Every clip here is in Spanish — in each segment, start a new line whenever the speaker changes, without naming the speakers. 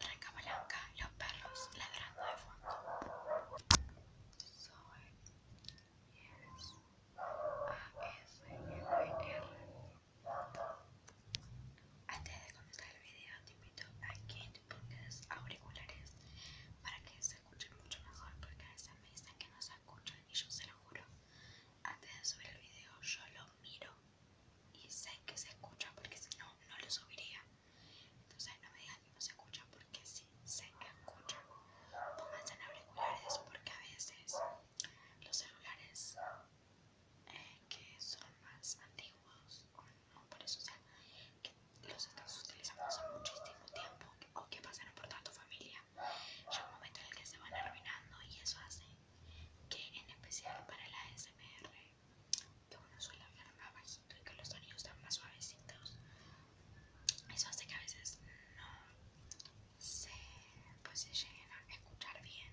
Ranca Blanca, los perros ladrando de fondo. Antes de comenzar el video, te invito a que te pongas auriculares para que se escuchen mucho mejor, porque a veces me dicen que no se escuchan y yo se lo juro. Antes de subir el video, yo lo miro y sé que se escucha porque si no, no lo subiría. Entonces no me digan que no se escucha porque sí sé que escucha. Pónganse en auriculares porque a veces los celulares eh, que son más antiguos o no por eso, sea, que los estás utilizando hace muchísimo tiempo o que pasan por toda tu familia, llega un momento en el que se van arruinando y eso hace que en especial para la SMR, que uno suele hablar más bajito y que los sonidos están más suavecitos, eso hace que a veces no se, pues, se lleguen a escuchar bien.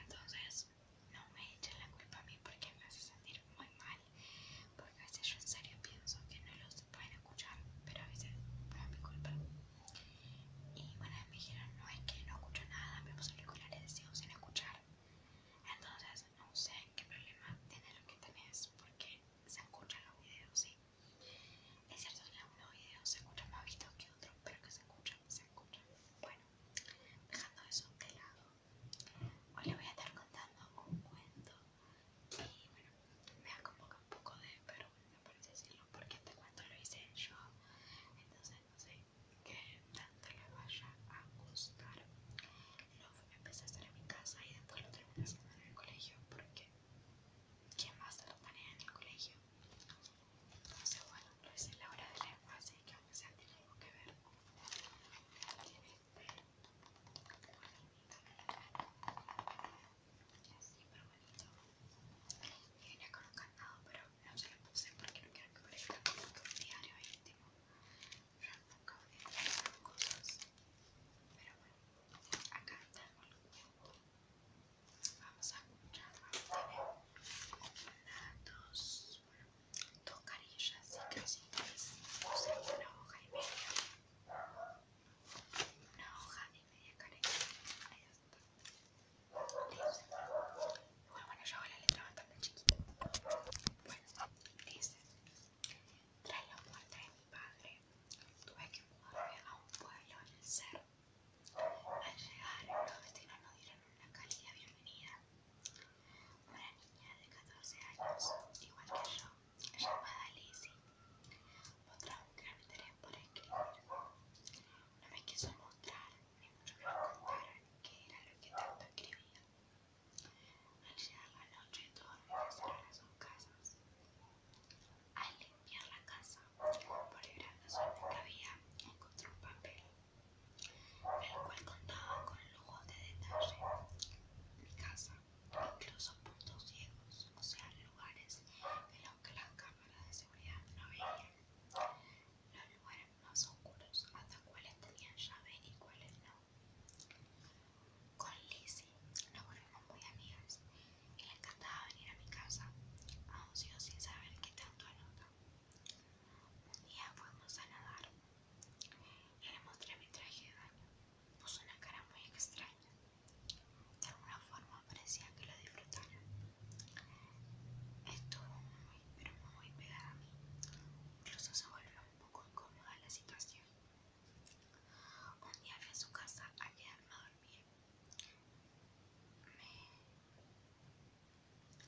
Entonces, no me echen la culpa a mí porque me hace sentir muy mal, porque a veces yo en serio pienso que no los pueden escuchar, pero a veces no es mi culpa. Y bueno, me dijeron, no es que no escucho nada, me puse auriculares decido sin escuchar. Entonces, no sé qué problema tiene lo que tenés, porque se escuchan los videos, sí. Es cierto que en algunos videos se escuchan más vistos que otros, pero que se escuchan, se escuchan. Bueno, dejando eso de lado, hoy les voy a estar contando un cuento. Y bueno, me ha convocado un poco de perro parece porque te cuento lo hice yo, entonces no sé qué tanto le vaya a gustar. Lo empecé a hacer en mi casa y después lo terminé haciendo en el colegio porque ¿quién más te lo maneja en el colegio? Entonces bueno, lo hice en la hora de leer así que aunque sea tiene algo que ver. Tiene eh, así pero bonito venía con un candado, pero no se lo puse porque no quiero que parezca como que un diario íntimo. Yo nunca voy a hacer cosas. Pero bueno, acá tengo el cuento. Vamos a escuchar, vamos a tener una, dos, bueno, dos carillas y casi tres. O sea, una hoja y media. Una hoja y media carilla. Hay Igual bueno, yo hago la letra bastante chiquita. Bueno, dice, tras la muerte de mi padre, tuve que mudarme a un pueblo en el cerro. Al llegar, los vecinos nos dieron una cálida bienvenida. Una niña de 14 años, igual que yo, llamada Lizzie, otra un gran interés por escribir. No me quiso mostrar, ni mucho menos contar qué era lo que tanto escribía. Al llegar la noche, todos en a sus casas. Al limpiar la casa, por el gran desorden que había, encontró un papel, el cual contaba con el lujo de detalle mi casa, incluso puntos ciegos, o sea, lugares en los que las cámaras de seguridad no veían. Los lugares más oscuros, hasta cuáles tenían llave y cuáles no. Con Lizzie nos volvimos muy amigas y le encantaba venir a mi casa, aunque yo sin saber qué tanto anota. Un día fuimos a nadar y le mostré mi traje de baño. Puso una cara muy extraña. De alguna forma parecía que lo disfrutara. Estuvo muy, pero muy pegada a mí. Incluso se volvió un poco incómoda la situación. Un día fui a su casa a quedarme a dormir. Me...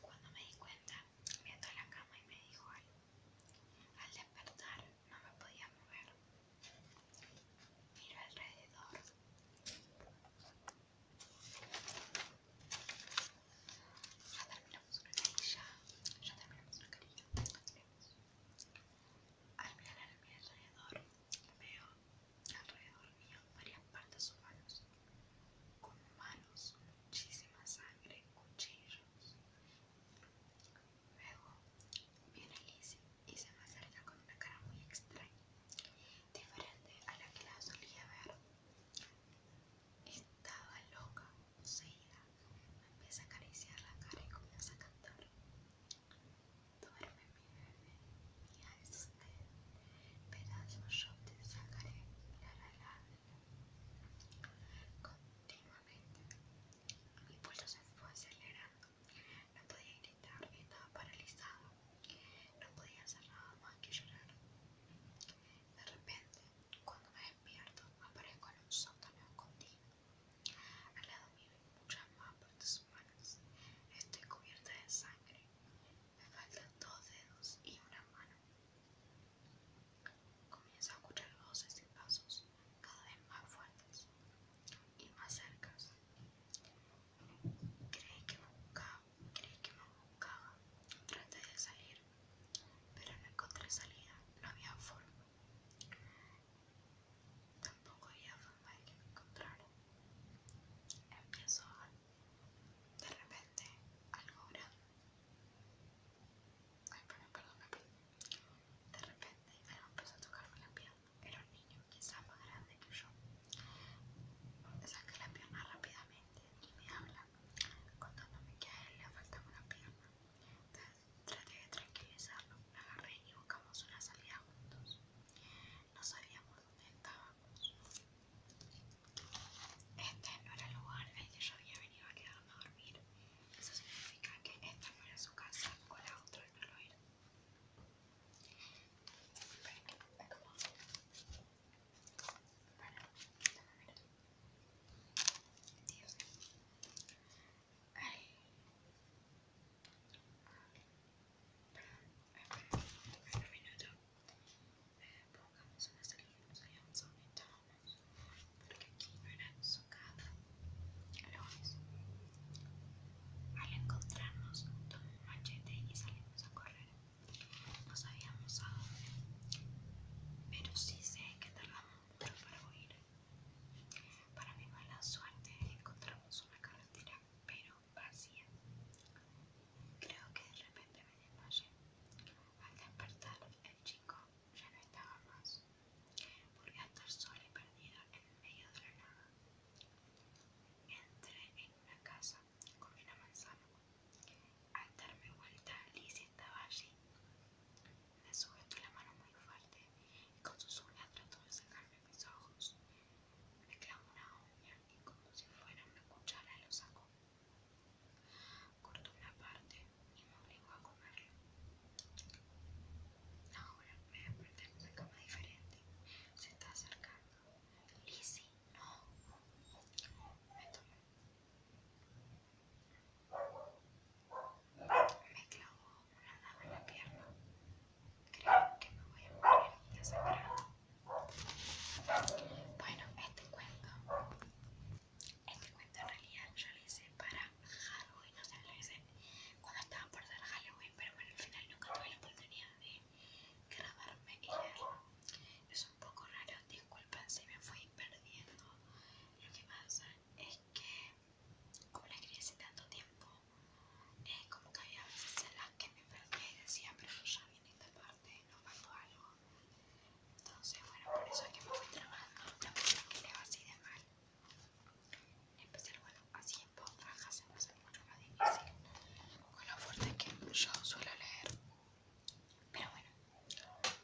Cuando me di cuenta, me entró a la cama y me dijo algo. Al despertar, no me podía mover. mira alrededor. Ya terminamos una carilla. Ya terminamos una carilla. Al mirar alrededor, veo alrededor mío varias partes humanas. Con manos, muchísima sangre, cuchillos. Luego viene Lizzie y se me acerca con una cara muy extraña, diferente a la que la solía ver. Estaba loca, poseída. Me empieza a acariciar la cara y comienza a cantar. Duerme mi bebé, Y es usted. Pedazos yo te sacaré, la la la. Últimamente, Mi pulso se fue acelerando. No podía gritar, estaba paralizado. No podía hacer nada más que llorar. De repente, cuando me despierto, aparezco en un sótano escondido. Al lado mío hay muchas más partes humanas. Estoy cubierta de sangre. Me faltan dos dedos y una mano. Comienzo a escuchar voces y pasos cada vez más fuertes y más cercas. Creí que me buscaba, creí que me buscaba. Traté de salir, pero no encontré salida, no había forma. Tampoco había forma de que me Empiezo a, de repente, algo grande. Ay, perdón, perdón, De repente me empezó a tocarme la pierna. Era un niño, quizás más grande que yo. saca saqué la pierna rápidamente y me habla, contándome que a él le faltaba una pierna. Entonces, traté de tranquilizarlo, me agarré y buscamos una salida juntos. No sabíamos dónde estábamos. Este no era el lugar al había venido a quedarme a dormir. Eso significa que esta no era su casa o la otra no lo era. Dios. Ay. pongamos una salida nos habíamos un porque aquí no era socada Luego, al encontrarnos tomó un machete y salimos a correr no sabíamos a dónde pero sí sé que tardamos mucho para huir para mi mala suerte encontramos una carretera pero vacía Creo que de repente me desmayé. Al despertar, el chico ya no estaba más. Volví a estar sola y perdida en medio de la nada. Entré en una casa con una manzana. Al darme vuelta, Lizzie estaba allí. Me sujetó la mano muy fuerte y con sus uñas trató de sacarme mis ojos. Me clavó una uña y como si fuera una cuchara lo sacó. Cortó una parte y me obligó a comerlo. Ahora voy a aprender una cama diferente. Se está acercando. si no. Me tomó. Me clavó una daga en la pierna. Creo que me voy a morir y a bueno, este cuento, este cuento en realidad yo lo hice para Halloween, o sea, lo hice cuando estaba por hacer Halloween, pero bueno, al final nunca tuve la oportunidad de grabarme y Es un poco raro, disculpen si me fui perdiendo. Lo que pasa es que, como la escribí hace tanto tiempo, eh, como que había veces en las que me perdí y decía, pero ya viene esta parte, no faltó algo. Entonces, bueno, por eso es que me fui trabajando, es que leo así de mal. empezar bueno, así en voz se me hace mucho más difícil con lo fuerte que yo suelo leer. Pero bueno,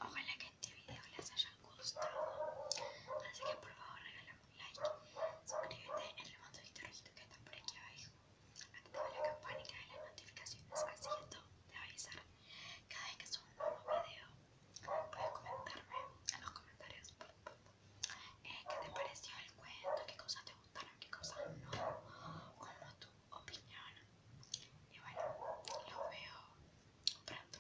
ojalá que este video les haya gustado. Así que por favor regalame like, suscríbete en el de rojito que está por aquí abajo, activa la campanita de las notificaciones, así esto te va avisar cada vez que subo un nuevo video. Puedes comentarme en los comentarios eh, qué te pareció el cuento, qué cosas te gustaron, qué cosas no, como tu opinión. Y bueno, los veo pronto.